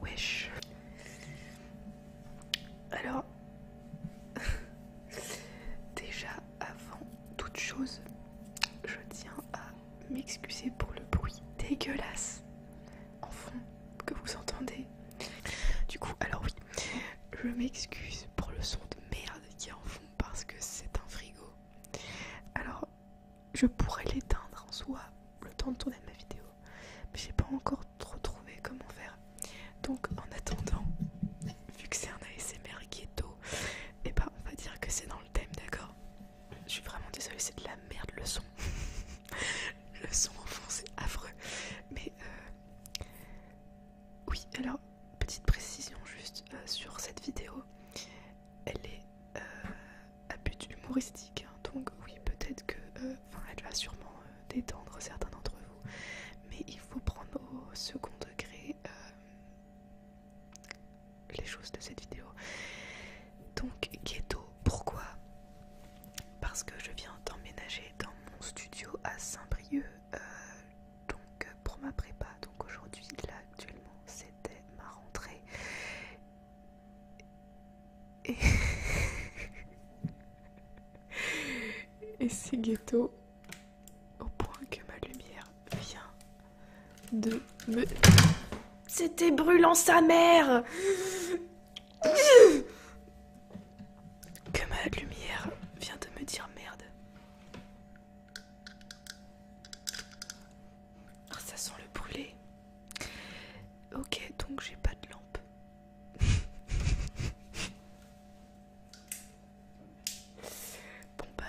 Wesh. Alors, déjà avant toute chose, je tiens à m'excuser pour le bruit dégueulasse en fond que vous entendez. Du coup, alors oui, je m'excuse pour le son de merde qui est en fond parce que c'est un frigo. Alors, je pourrais l'éteindre en soi le temps de tourner ma vidéo mais j'ai pas encore trop trouvé comment faire donc en attendant vu que c'est un ASMR qui est et bah eh ben, on va dire que c'est dans le thème d'accord je suis vraiment désolée c'est de la merde le son le son en affreux mais euh, oui alors petite précision juste euh, sur cette vidéo elle est euh, à but humoristique, hein, donc oui, peut-être que, euh, enfin, elle va sûrement euh, détendre certains d'entre vous, mais il faut prendre au second degré les choses de cette vidéo. Donc, ghetto, pourquoi Parce que je viens d'emménager dans mon studio à Saint-Brieuc, donc pour ma prépa. Donc aujourd'hui, là actuellement, c'était ma rentrée. Et, Et c'est ghetto au point que ma lumière vient de me... C'était brûlant sa mère Que ma lumière vient de me dire merde. Ah, ça sent le brûlé. Ok, donc j'ai pas de lampe. bon bah...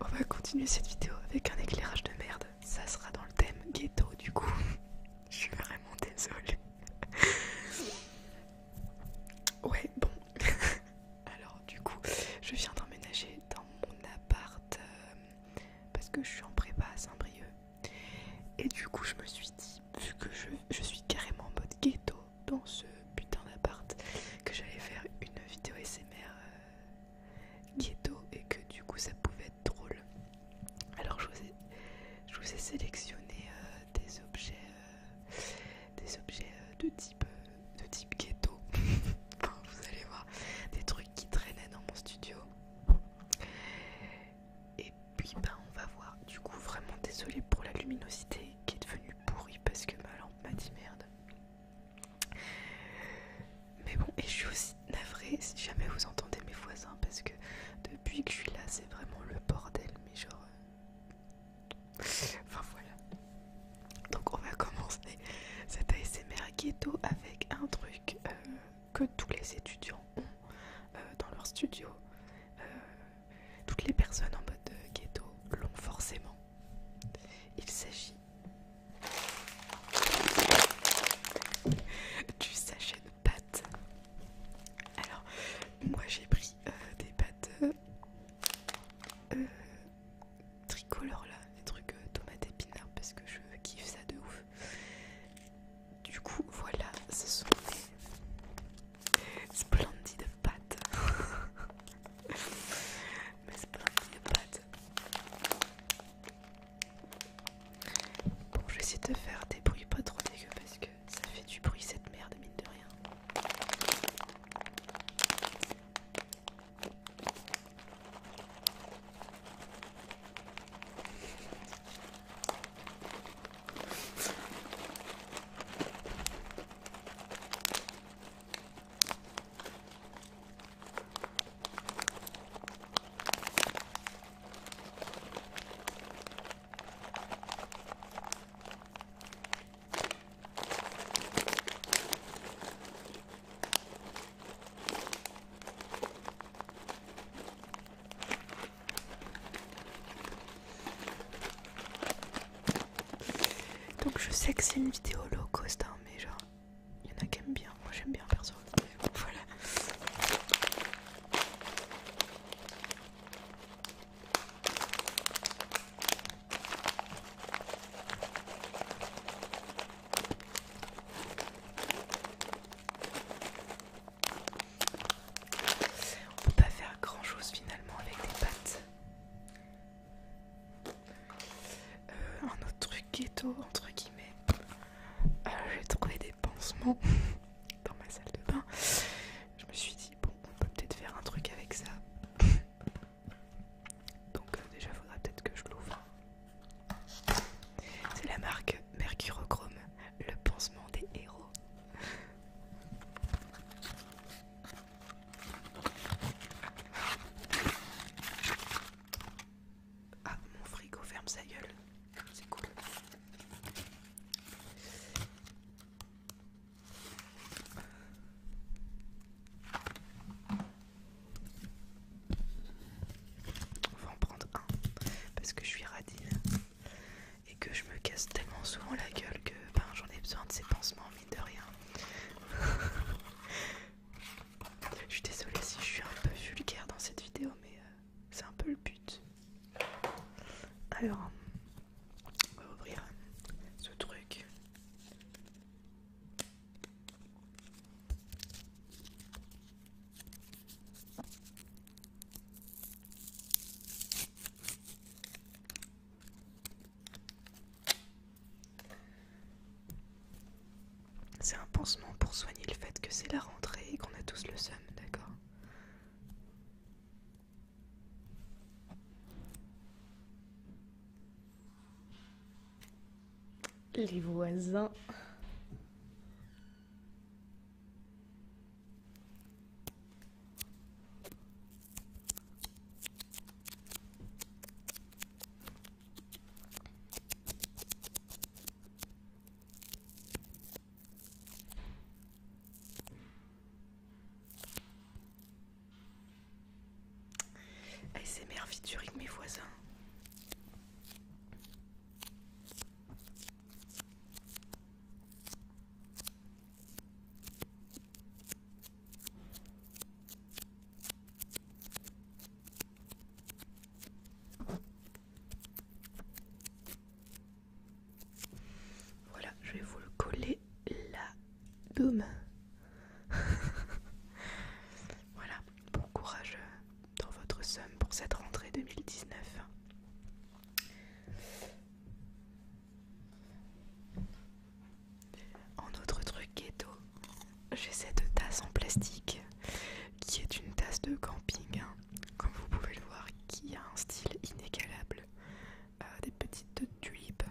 On va continuer cette vidéo avec un éclairage de merde. Ça sera dans le thème ghetto du coup. Je suis vraiment désolée. Ouais, bon. Alors, du coup, je viens d'emménager dans mon appart euh, parce que je suis en prépa à Saint-Brieuc. Et du coup, je me suis dit, vu que je, suis carrément en mode ghetto dans ce putain d'appart, que j'allais faire une vidéo SMR euh, ghetto et que du coup, ça pouvait être drôle. Alors je vous ai, sélectionné euh, des objets, euh, des objets euh, de type, ghetto. vous allez voir des trucs qui traînaient dans mon studio. Et puis ben on va voir. Du coup vraiment désolé pour la luminosité qui est devenue pourrie parce que ma lampe m'a dit merde. Mais bon, et je suis aussi navrée si jamais vous entendez mes voisins parce que depuis que je suis là, c'est vraiment le bordel, mais genre. Euh, enfin voilà. Donc on va commencer cet ASMR ghetto avec un truc euh, que tous les étudiants ont euh, dans leur studio. toutes les personnes en mode ghetto l'ont forcément. Il s'agit du sachet pâtes. Alors, moi j'ai pris euh, des pâtes euh, euh, tricolores là, des trucs tomates épinards parce que je kiffe ça de ouf. Du coup, voilà, ce sont mes splendides pâtes. Mais splendides pâtes. Bon, je vais essayer de faire des bruits pas trop dégueux parce que ça fait du bruit cette merde, mine de rien. Donc je sais que c'est une vidéo low cost hein, mais genre il y en a qui aiment bien, moi j'aime bien perso. Voilà. On peut pas faire grand chose finalement avec des pattes. Euh, un autre truc ghetto entre guillemets. Euh, je J'ai des pansement dans ma salle de bain. Je me suis dit, bon, on peut peut-être faire un truc avec ça. Donc, euh, déjà, faudra peut-être que je l'ouvre. C'est la marque Mercurochrome, le pansement des héros. Ah, mon frigo ferme sa gueule. C'est cool. On va en prendre un parce que je suis radine et que je me casse tellement souvent la gueule que ben, j'en ai besoin de ces pansements, mine de rien. je suis désolée si je suis un peu vulgaire dans cette vidéo, mais euh, c'est un peu le but. Alors, on va ouvrir ce truc. C'est un pansement pour soigner le fait que c'est la rentrée et qu'on a tous le seum, d'accord Les voisins. Et ces merveilles du rythme mes voisins. Voilà, je vais vous le coller là. Boum Voilà, bon courage euh, dans votre somme pour cette rentrée 2019. En autre truc ghetto, j'ai cette tasse en plastique qui est une tasse de camping, hein. comme vous pouvez le voir, qui a un style inégalable. Euh, des petites tulipes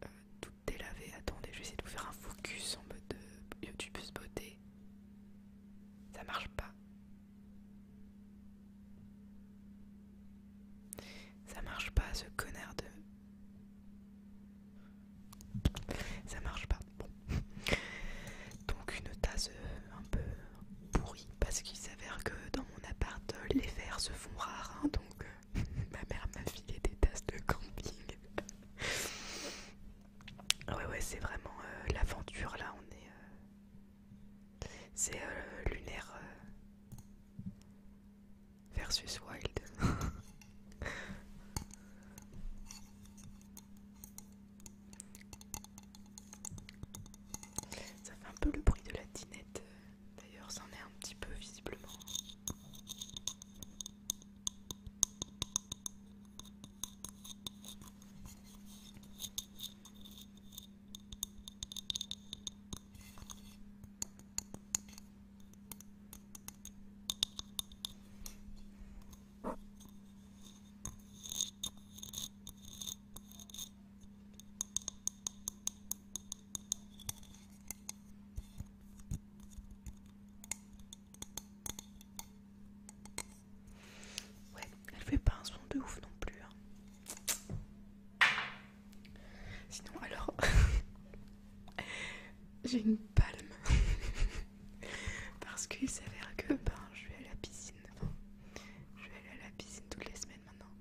tout euh, toutes délavées. Attendez, je vais essayer de vous faire un focus en mode de euh, YouTube beauté. Ça marche pas. Ça marche pas, ce connard de. Ça marche pas. Donc une tasse euh, un peu pourrie parce qu'il s'avère que dans mon appart les verres se font rares. Hein, donc euh, ma mère m'a filé des tasses de camping. ouais ouais c'est vraiment euh, l'aventure là. On est. C'est lunaire. Versus Wild. Ça fait un peu le bruit de la dinette. D'ailleurs, en est un petit peu visiblement. Ouais, elle fait pas un son de ouf non plus. Hein. Sinon, alors, J'ai une palme. Parce qu'il s'avère que ben, je vais à la piscine. je vais aller à la piscine toutes les semaines maintenant.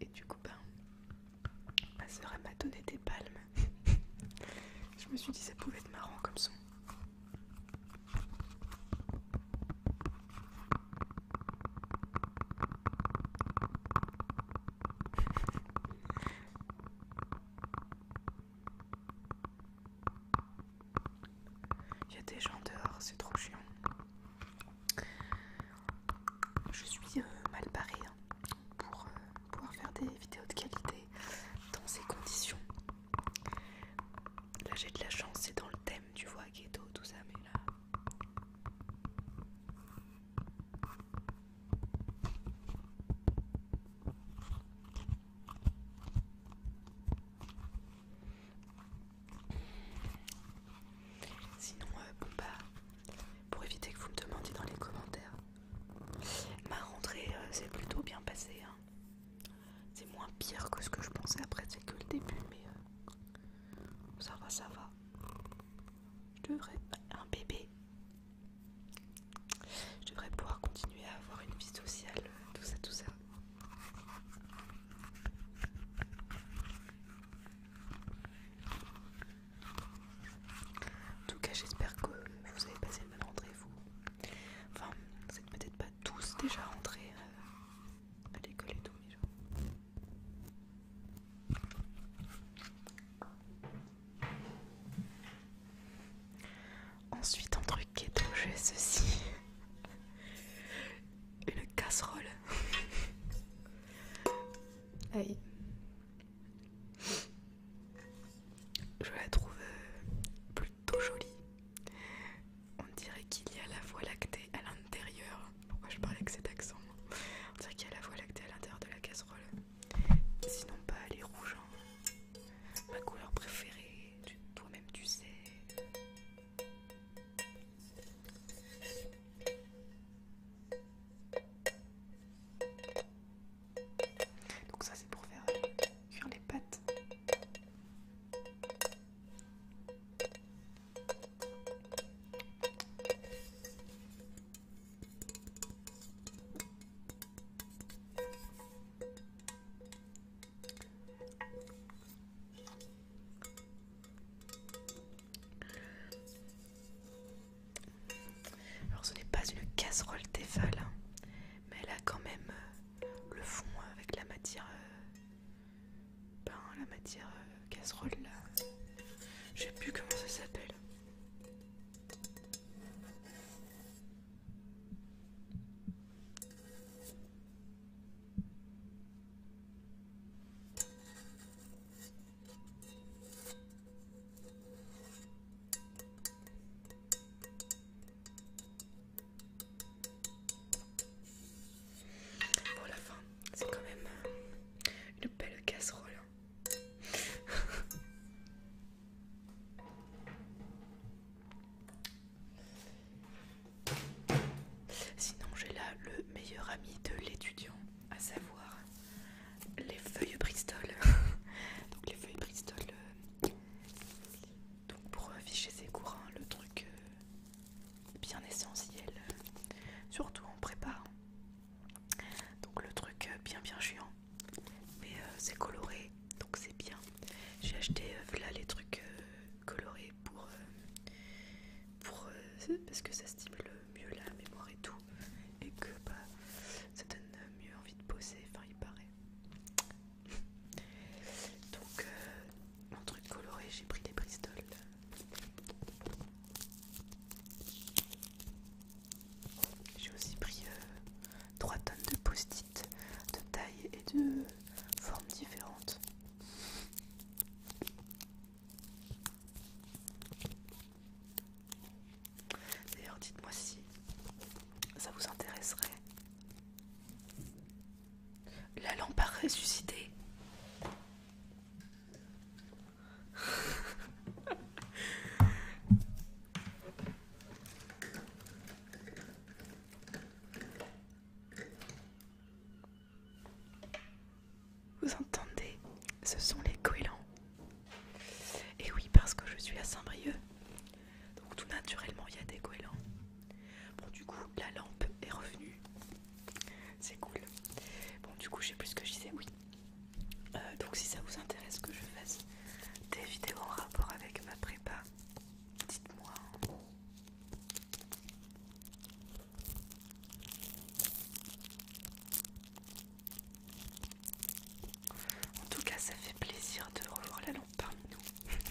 Et du coup, ben, ma soeur m'a donné des palmes. je me suis dit, ça pouvait être marrant comme son. Il y a des gens dehors, c'est trop chiant. Je suis euh, mal parée hein, pour euh, pouvoir faire des vidéos de qualité dans ces conditions. Là j'ai de la chance, c'est dans le thème, tu vois, ghetto, tout ça, mais là... Sinon, euh, bah, pour éviter que vous me demandiez dans les commentaires, ma rentrée euh, s'est plutôt bien passée. Hein. C'est moins pire que ce que je pensais après, c'est que le début, mais euh, ça va, ça va. Je devrais. Un bébé, je devrais pouvoir continuer à avoir une vie sociale, tout ça, tout ça. En tout cas, j'espère que vous avez passé le même rentrée, vous. Enfin, vous n'êtes peut-être pas tous déjà rentrés euh, à l'école et tout, mais genre. Ensuite, un truc keto, j'ai ceci une casserole. Je la trouve euh, plutôt jolie. On dirait qu'il y a la voix lactée à l'intérieur. Pourquoi je parle avec cet accent On dirait qu'il y a la voix lactée à l'intérieur de la casserole. Sinon pas les rouges. Hein. Ma couleur préférée, toi-même tu sais. Donc ça c'est pour faire cuire les pâtes. Alors ce n'est pas une casserole Tefal, hein, mais elle a quand même euh, le fond avec la matière, euh, la matière euh, casserole là. ne sais plus comment ça s'appelle. Pour la fin, c'est quand même euh, une belle casserole. Sinon, j'ai là le meilleur ami de l'étudiant, à savoir les feuilles Bristol. Donc, les feuilles Bristol, euh, donc pour afficher ses courants, le truc euh, bien essentiel, surtout en prépa donc le truc euh, bien bien géant mais euh, c'est coloré donc c'est bien j'ai acheté euh, là les trucs colorés pour pour parce que ça stimule mieux la mémoire et tout et que bah, ça donne mieux envie de poser, enfin il paraît donc mon truc coloré j'ai pris des bristols j'ai aussi pris 3 euh, tonnes de post-it de taille et de formes différentes. D'ailleurs, dites-moi si ça vous intéresserait. La lampe à ressusciter. Vous entendez Ce sont les goélands. Et oui, parce que je suis à Saint-Brieuc. Donc tout naturellement, il y a des goélands. Bon, du coup, la lampe est revenue. C'est cool. Bon, du coup, je sais plus ce que je disais, oui. Euh, donc, si ça vous intéresse que je fasse des vidéos en rapport avec ma prépa, dites-moi. En tout cas, ça fait plaisir de revoir la lampe parmi nous.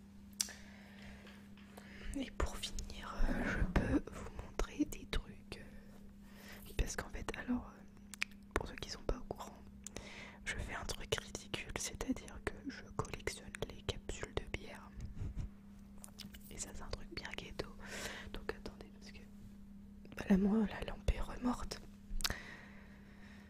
Et pour finir, euh, je peux vous montrer des trucs. Euh, parce qu'en fait, alors, euh, pour ceux qui sont pas au courant, je fais un truc ridicule, c'est-à-dire que je collectionne les capsules de bière. Et ça, c'est un truc bien ghetto. Donc attendez, parce que. voilà, moi, la lampe est remorte.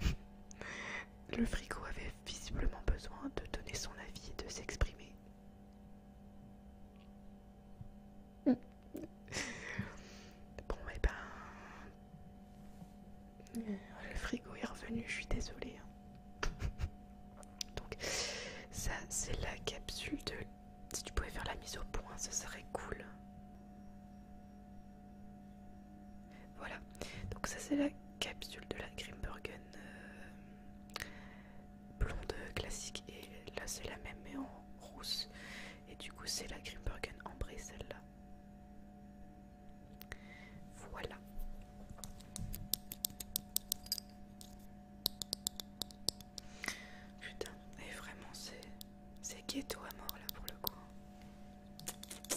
Le frigo avait visiblement besoin de donner son avis et de s'exprimer. bon, et eh ben. Le frigo est revenu, je suis désolée. Hein. Donc, ça, c'est la capsule de. Si tu pouvais faire la mise au point, ce serait cool. Voilà, donc ça c'est la capsule de la Grimbergen euh, blonde classique et là c'est la même mais en rousse et du coup c'est la Grimbergen en celle-là. Voilà. Putain, et vraiment c'est ghetto à mort là pour le coup.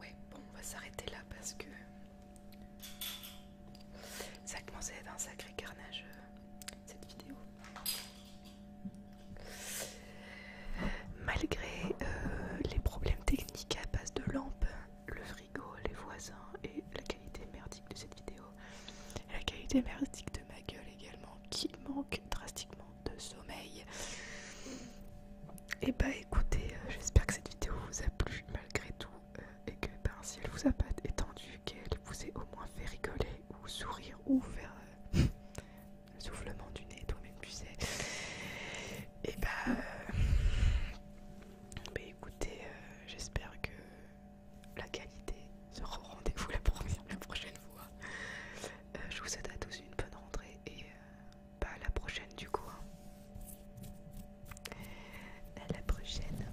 Ouais, bon, on va s'arrêter là parce que ça a commencé à être un sacré carnage euh, cette vidéo. Malgré euh, les problèmes techniques à base de lampes le frigo, les voisins et la qualité merdique de cette vidéo. la qualité merdique de ma gueule également qui manque drastiquement de sommeil. Et eh bah ben, écoutez, euh, j'espère que cette vidéo vous a plu malgré tout euh, et que par ben, si elle vous a pas étendu, qu'elle vous ait au moins fait rigoler ou sourire ou faire un euh, soufflement du nez, toi-même tu Et eh bah... Ben, écoutez, euh, j'espère que la qualité sera au rendez-vous la, la prochaine fois. Euh, je vous souhaite à tous une bonne rentrée et euh, bah, à la prochaine du coup. Hein. À la prochaine.